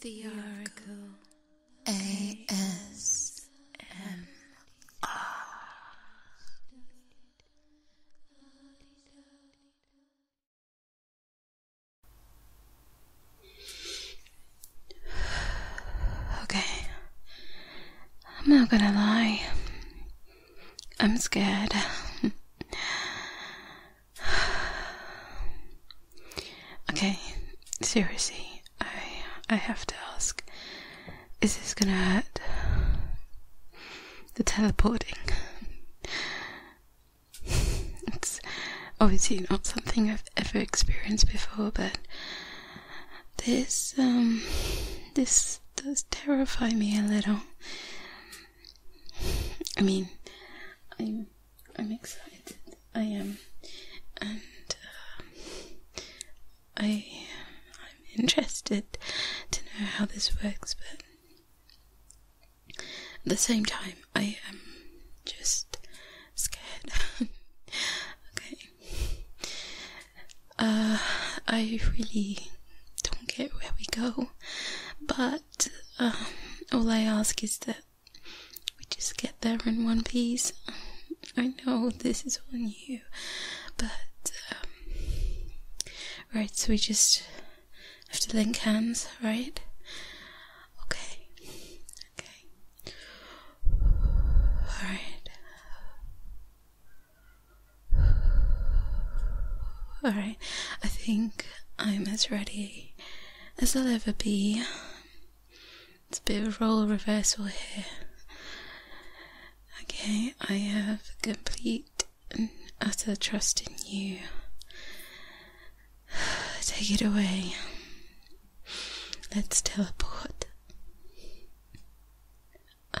The Oracle ASMR. Okay, I'm not gonna lie, I'm scared. okay, seriously, I I have to ask, is this gonna hurt? The teleporting. it's obviously not something I've ever experienced before, but this um this does terrify me a little. I mean, I'm I'm excited. I am, and uh, I I'm interested to know how this works, but at the same time, I am just scared. okay. Uh, I really don't get where we go, but uh, all I ask is that we just get there in one piece. I know this is on you, but um, right, so we just have to link hands, right? Okay, okay, all right, all right. I think I'm as ready as I'll ever be. It's a bit of a role reversal here. Okay, I have complete and utter trust in you. Take it away. Let's teleport.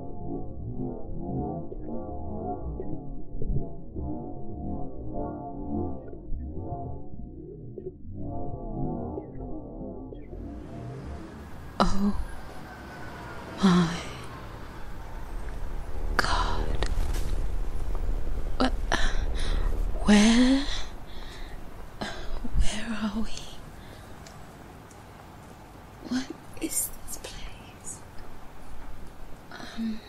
Oh my God. where? Where are we? What is this place? Um,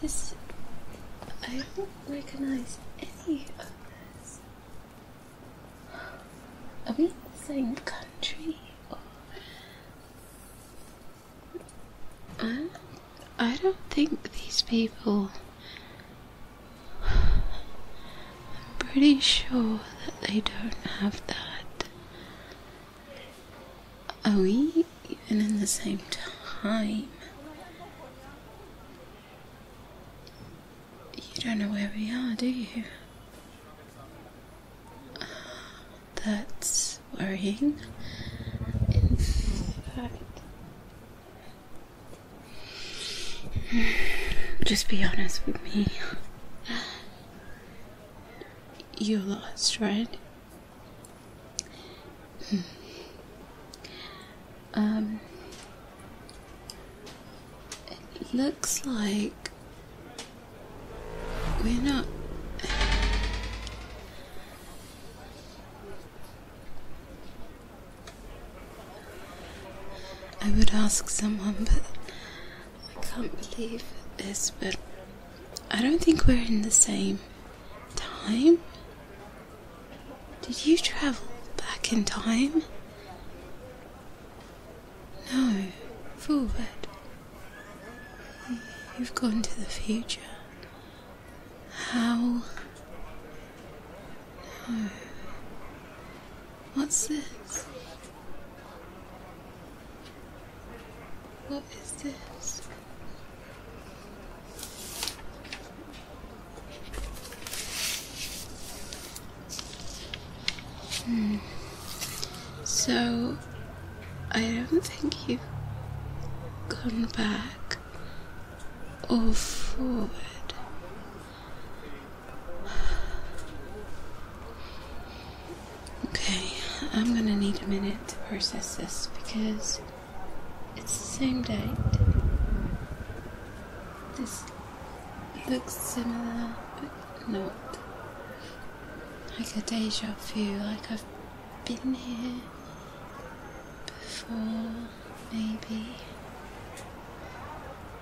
this. I don't recognize any of this. Are we in the same country? I, I don't think these people. I'm pretty sure that they don't have that. Are we even in the same time? You don't know where we are, do you? that's worrying. In fact, just be honest with me. You lost, right? Hmm. um, it looks like we're not. I would ask someone, but I can't believe this, but I don't think we're in the same time. Did you travel back in time? No, forward. You've gone to the future. How? No. What's this? What is this? Hmm. So, I don't think you've gone back or forward. Okay, I'm gonna need a minute to process this because it's the same date. This looks similar, but not. Like a deja vu, like I've been here before, maybe.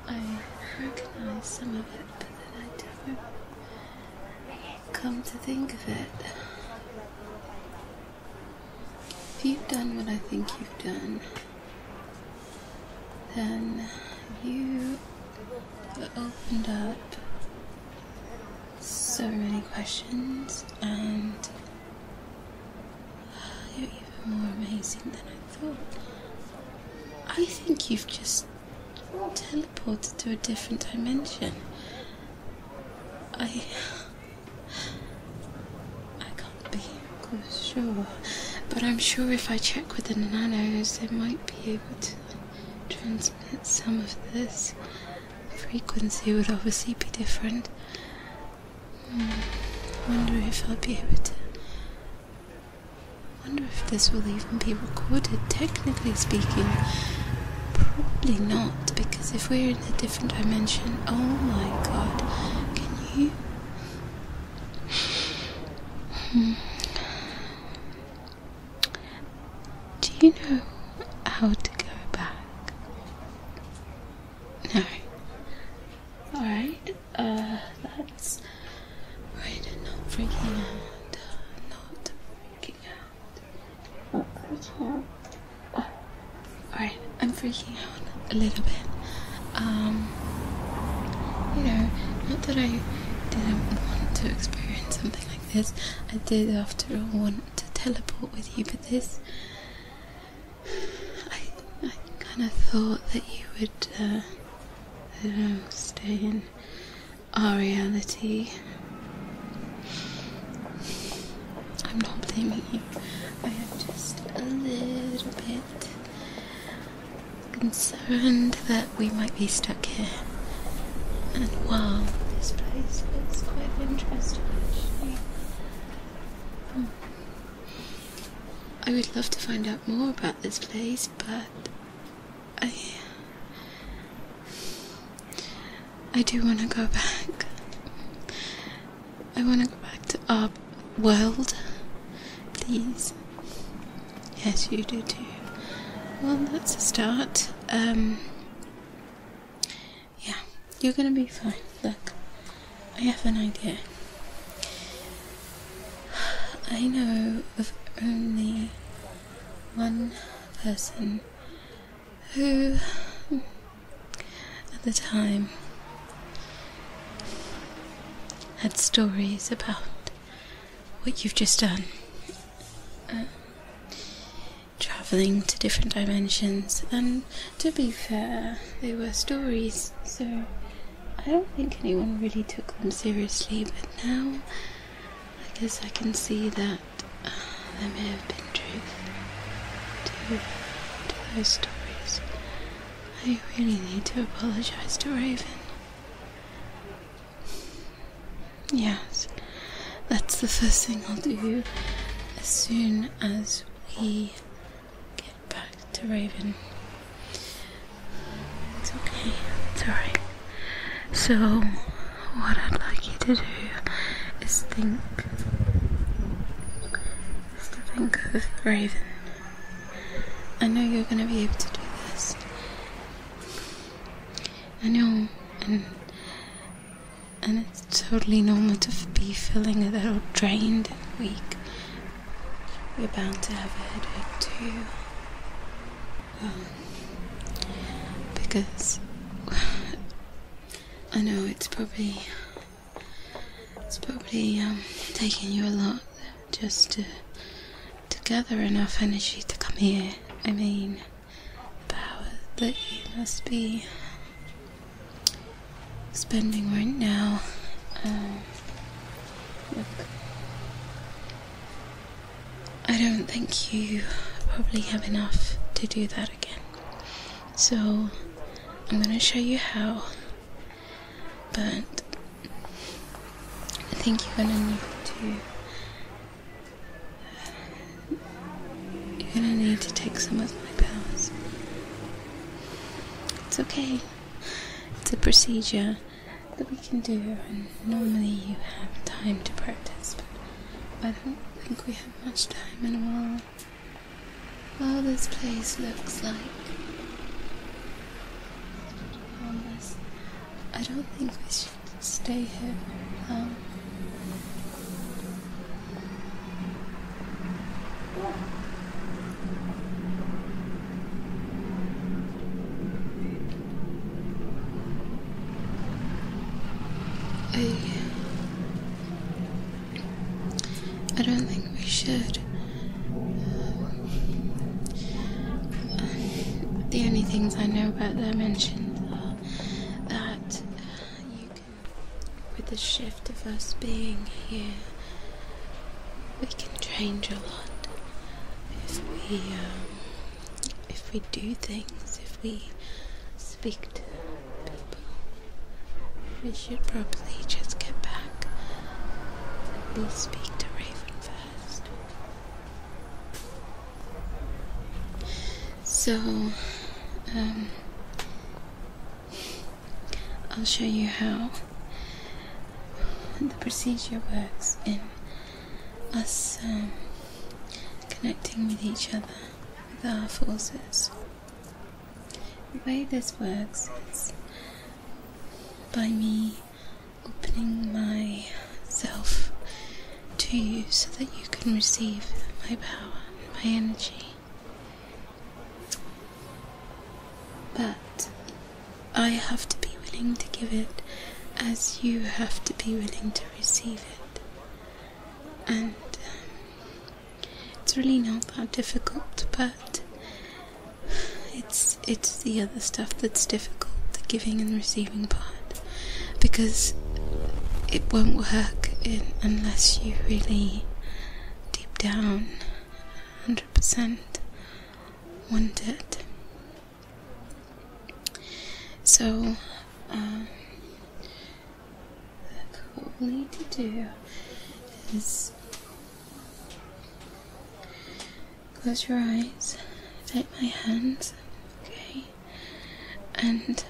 I recognize some of it, but then I don't. come to think of it. If you've done what I think you've done, then you have opened up so many questions, and you're even more amazing than I thought. I think you've just teleported to a different dimension. I. I can't be sure, but I'm sure if I check with the nanos, they might be able to transmit some of this. The frequency would obviously be different. Hmm, I wonder if I'll be able to I wonder if this will even be recorded, technically speaking. Probably not, because if we're in a different dimension, oh my god, can you? Hmm. Do you know how to go back? No. Alright. Uh, that's right. Not freaking out. Not freaking out. Not Alright, I'm freaking out a little bit. Um, you know, not that I didn't want to experience something like this. I did, after all, want to teleport with you, but this. I, I kind of thought that you would uh, that I'm staying our reality. I'm not blaming you. I am just a little bit concerned that we might be stuck here. And wow, this place looks quite interesting actually. Hmm, I would love to find out more about this place, but I I do want to go back. I want to go back to our world, please. Yes, you do too. Well, that's a start. Um, yeah, you're gonna be fine. Look, I have an idea. I know of only one person who, at the time, had stories about what you've just done. Um, traveling to different dimensions, and to be fair, they were stories, so I don't think anyone really took them seriously, but now I guess I can see that uh, there may have been truth to those stories. I really need to apologize to Raven. Yes, that's the first thing I'll do as soon as we get back to Raven. It's okay, it's alright. So, what I'd like you to do is think, is to think of Raven. I know you're going to be able to do this. I know, and and it's totally normal to be feeling a little drained and weak we are bound to have a headache too. Um, because I know it's probably it's probably um, taking you a lot just to to gather enough energy to come here. I mean, the power that you must be spending right now. Um, look, I don't think you probably have enough to do that again. So I'm going to show you how, but I think you're going to need to. You're going to need to take some of my powers. It's okay it's a procedure that we can do, and normally you have time to practice, but I don't think we have much time in a Well, this place looks like homeless. I don't think we should stay here long. I, I don't think we should. the only things I know about their mentions are that uh, you with the shift of us being here. We can change a lot if we, um, if we do things, if we speak to people. We should probably just get back. We'll speak to Raven first. So, um, I'll show you how the procedure works in us um, connecting with each other with our forces. The way this works is by me opening myself to you so that you can receive my power and my energy. But I have to be willing to give it as you have to be willing to receive it. And um, it's really not that difficult, but it's it's the other stuff that's difficult, the giving and receiving part, because it won't work unless you really deep down 100% wanted. So, um, what we need to do is close your eyes, take my hands, okay, and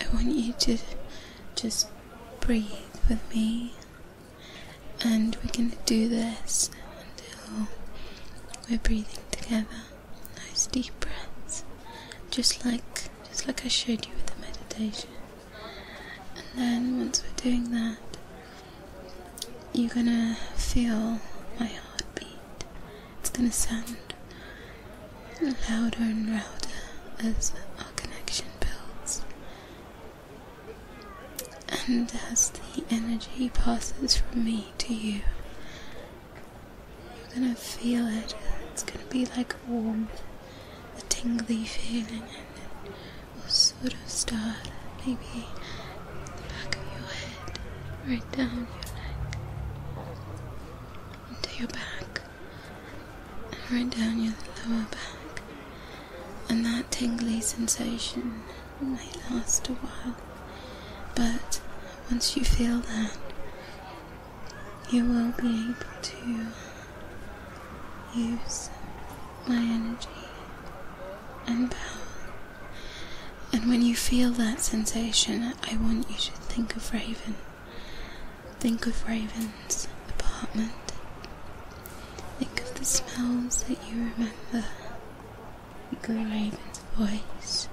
I want you to just breathe with me and we're going to do this until we're breathing together. Nice deep breaths. Just like just like I showed you with the meditation. And then once we're doing that, you're gonna feel my heartbeat. It's gonna sound louder and louder as our connection builds. And as the energy passes from me to you, you're gonna feel it. It's gonna be like a warmth, a tingly feeling, and it will sort of start maybe the back of your head, right down your neck, into your back, right down your lower back and that tingly sensation may last a while, but once you feel that, you will be able to use my energy and power. And when you feel that sensation, I want you to think of Raven. Think of Raven's apartment Think of the smells that you remember. Grey Raven's voice,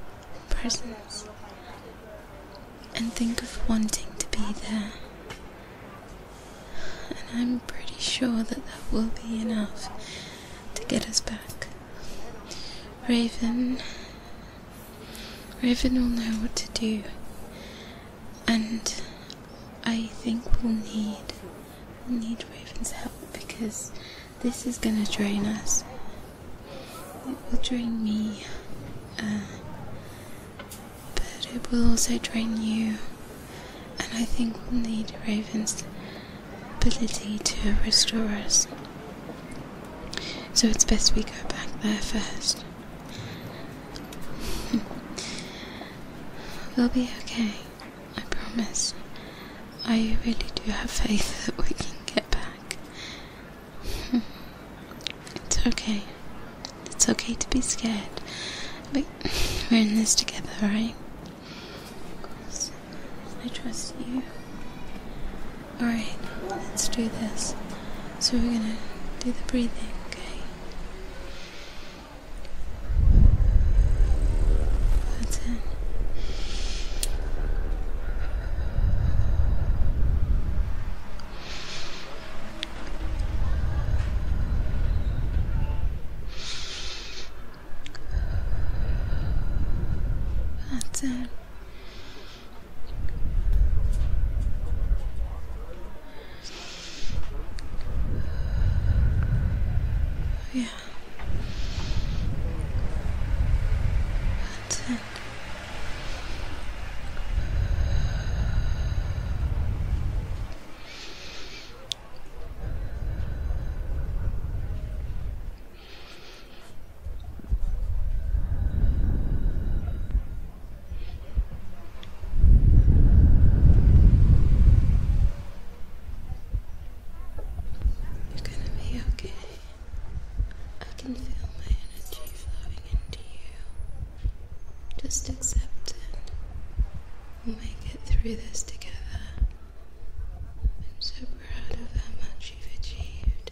presence, and think of wanting to be there. And I'm pretty sure that that will be enough to get us back. Raven. Raven will know what to do and I think we'll need need Raven's help because this is gonna drain us. It will drain me, uh, but it will also drain you, and I think we'll need Raven's ability to restore us. So it's best we go back there first. we'll be okay. I promise. I really do have faith that we can get back. It's okay. It's okay to be scared. But we're in this together, right? So I trust you. Alright, let's do this. So we're gonna do the breathing, okay? That's it. That's it. Yeah. That's it you gonna be okay. I can feel my energy flowing into you. Just accept it. We'll make it through this together. I'm so proud of how much you've achieved.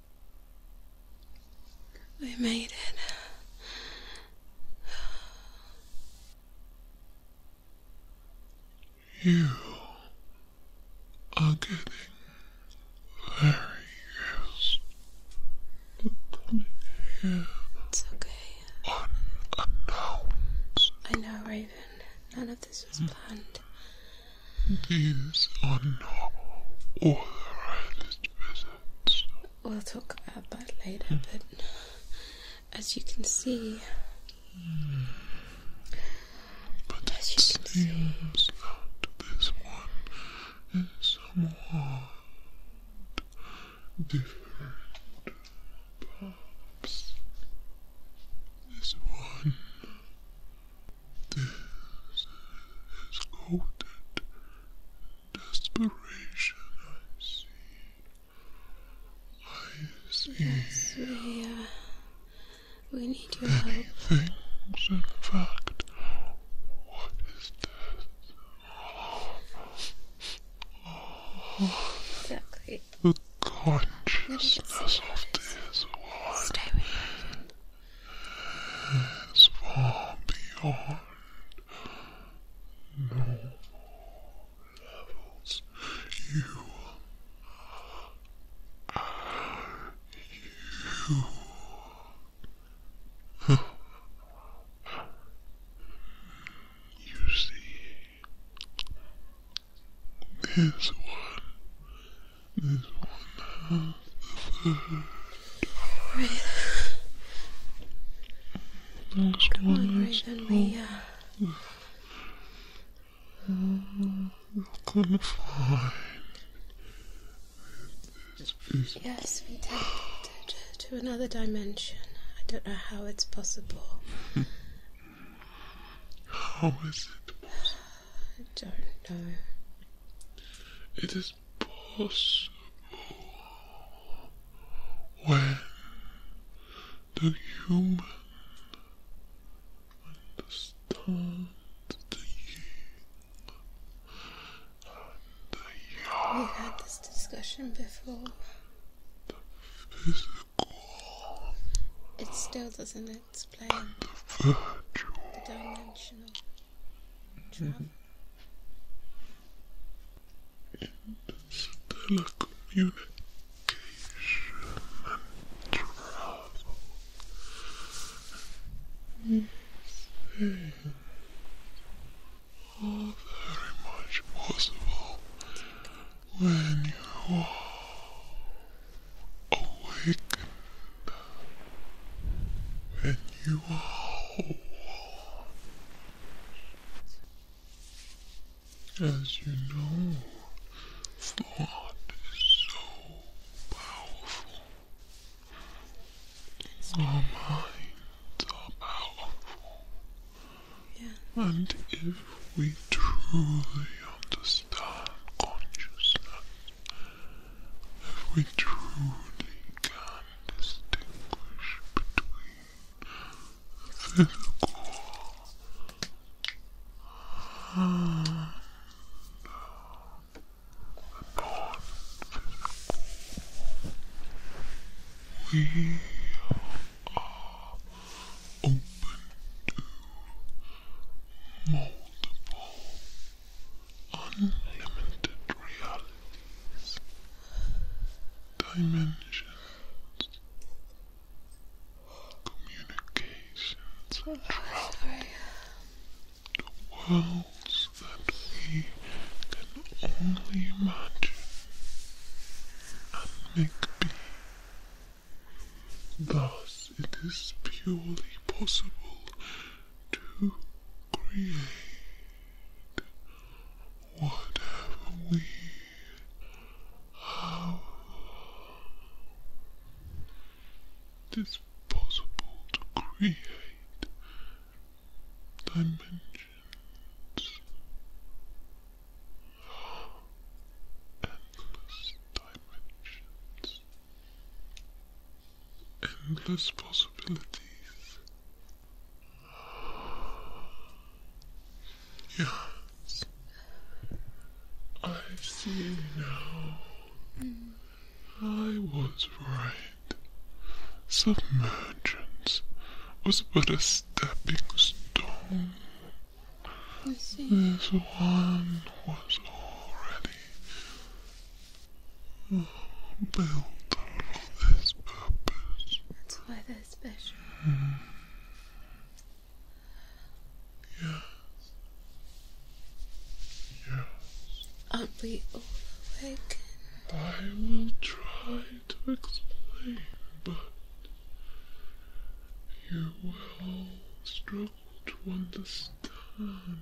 We made it. You are getting very used to coming It's okay. I know, Raven. None of this was planned. These are not authorized visits we'll talk about that later, hmm. but uh, as you can see, but it seems that this one is somewhat different. Perhaps this one this is coated desperation, I see. I see. we, uh, we need your help. Things, in fact. What is this? Oh, exactly. The consciousness of this one. Stay with is far beyond normal levels. You, you You see, this one this one has the third eye. one is on, you Yes, we tapped to, to another dimension. I don't know how it's possible. how is it possible? I don't know. It is possible when the human understands the yin and had this discussion before. The physical. It still doesn't explain. the virtual. The dimensional. Telecommunication and travel. Mm. All very much possible when you are awakened. And you are whole. As you know, thought is so powerful. Our minds are powerful. And if we truly understand consciousness, we truly can distinguish between physical and non-physical. We are open to multiple unlimited realities, dimensions, communications, and worlds that we can only imagine and make be. Thus, it is purely possible to create whatever we have. It is possible to create dimensions, endless dimensions endless possibilities. Yes, I see now. I was right. Submergence was but a stepping stone. This one was already built for this purpose. That's why they're special. Mm. Yes. Yes. Aren't we all awake? I will try to explain, but you will struggle to understand.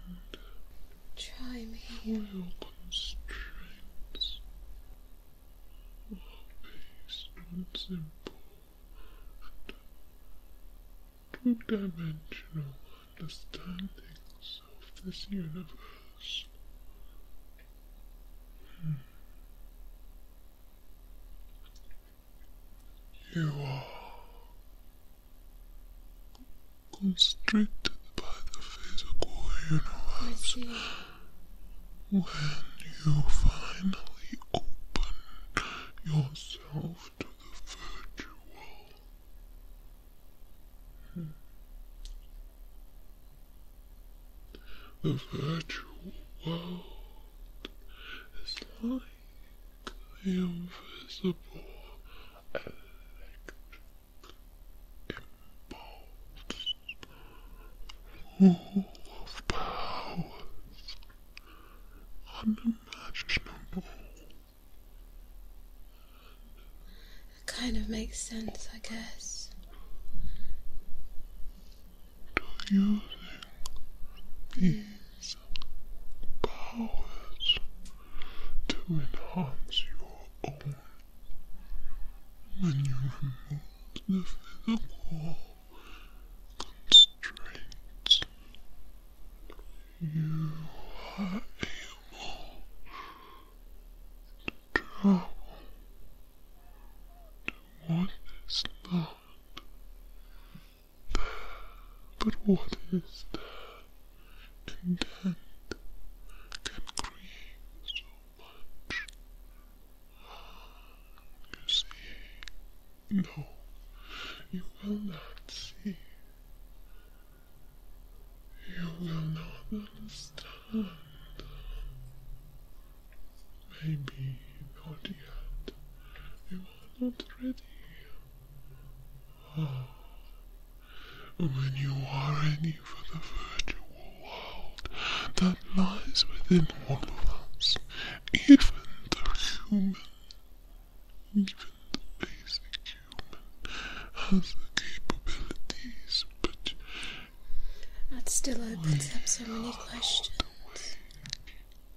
Try me. Royal constraints are based on simple two-dimensional understandings of this universe. Hmm. You are Constricted by the physical universe when you finally open yourself to the virtual. Hmm. The virtual world is like the invisible and full of powers unimaginable. It kind of makes sense, I guess. Do you powers to enhance your own. When you remove the physical constraints, you are able to travel what is not but what is that intent can create so much? You see, no, you will not see. You will not understand. Maybe not yet. You are not ready. When you are ready for the virtual world that lies within all of us, even the human, even the basic human, has the capabilities, but. That still opens up so many questions.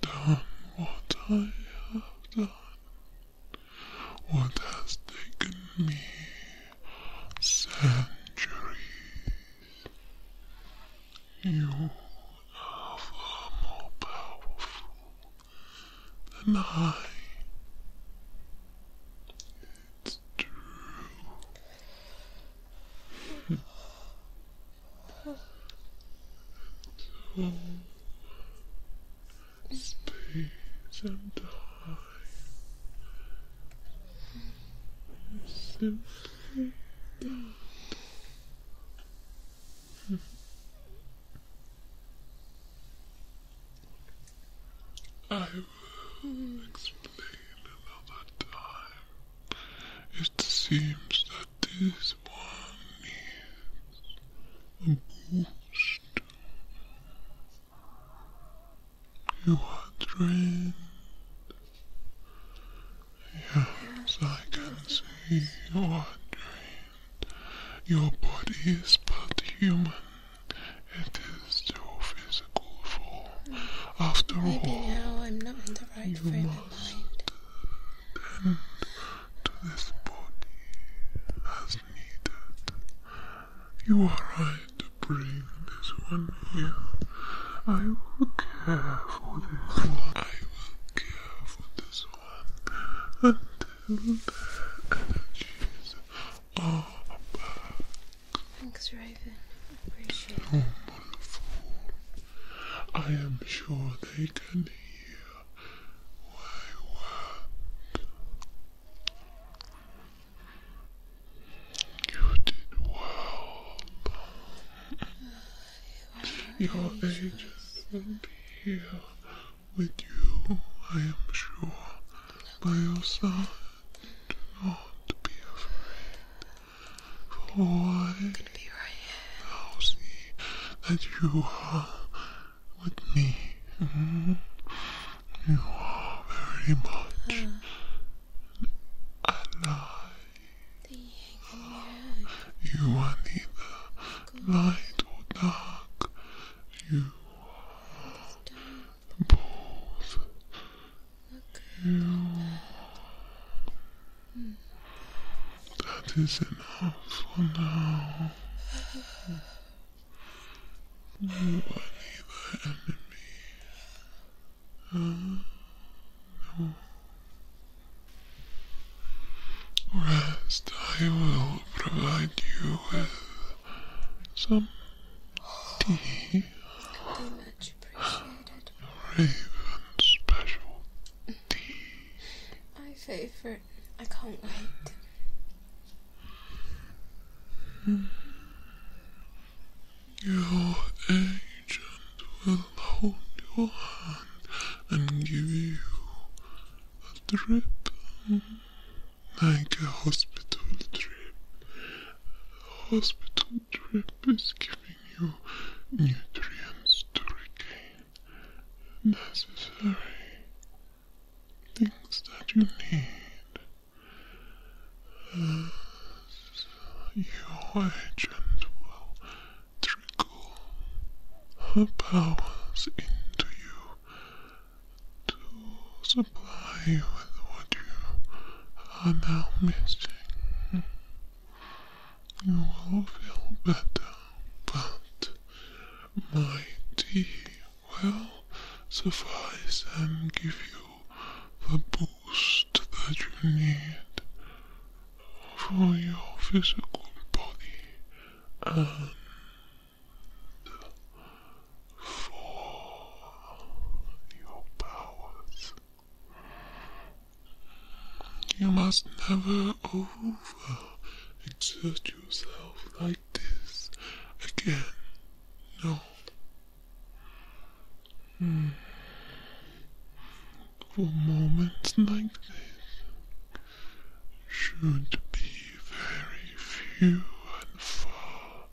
done what I have done, what has taken me centuries. You are far more powerful than I. It's true. space and time don't. I to explain another time. It seems that this one is a You are drained. Yes, I can see you are drained. Your body is but human. It is is physical form. After all, now I'm this body as needed. You are right to bring this one here. I will care for this one. I will care for this one until their energies are back. Thanks, Raven. I Appreciate it. Oh, I am sure they can hear my words. You did well. Your agents will be here with you, I am sure, by your side. Do not be afraid. For i will see that you are with me. You are very much alive. You are neither light or dark. You are balls. Okay. That is enough for now. You are neither enemy. Rest, I will provide you with some tea. Raven special tea. favorite. I can't wait. Your agent will hold your hand and give you a trip like a hospital trip. hospital the trip is giving you nutrients to regain necessary things that you need your agent will trickle her powers into you supply with what you are now missing. You will feel better, but my tea will suffice and give you the boost that you need for your physical body and for your powers. You must never exert yourself like this again. No. Hmm. For moments like this should be very few and far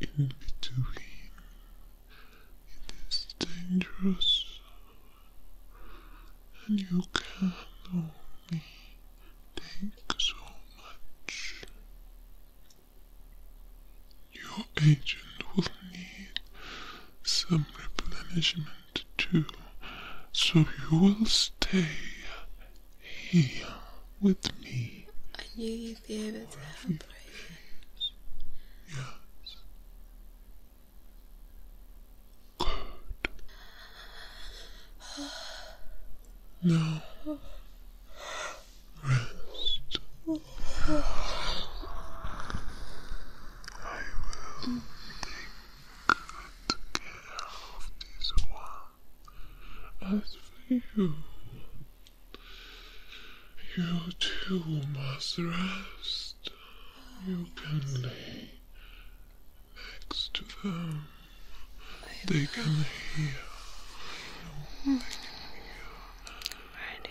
in between. It is dangerous, and you can only take so much. Your agent will need some replenishment too, so you will stay here with me. I knew you'd be able to help Yes. Good. Now, rest. I will take good care of this one as for you. You too must rest. You can lay next to them. They can hear.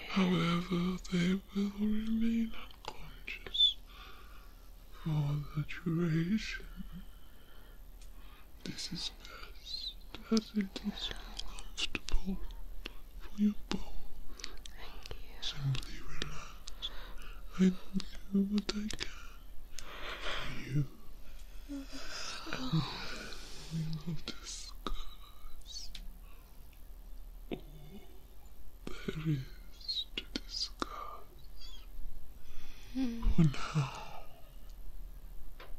However, they will remain unconscious for the duration. This is business as it is comfortable for your both, Thank you. Simply relax. I will do what I can for you. we will discuss all there is to discuss. Mm. now,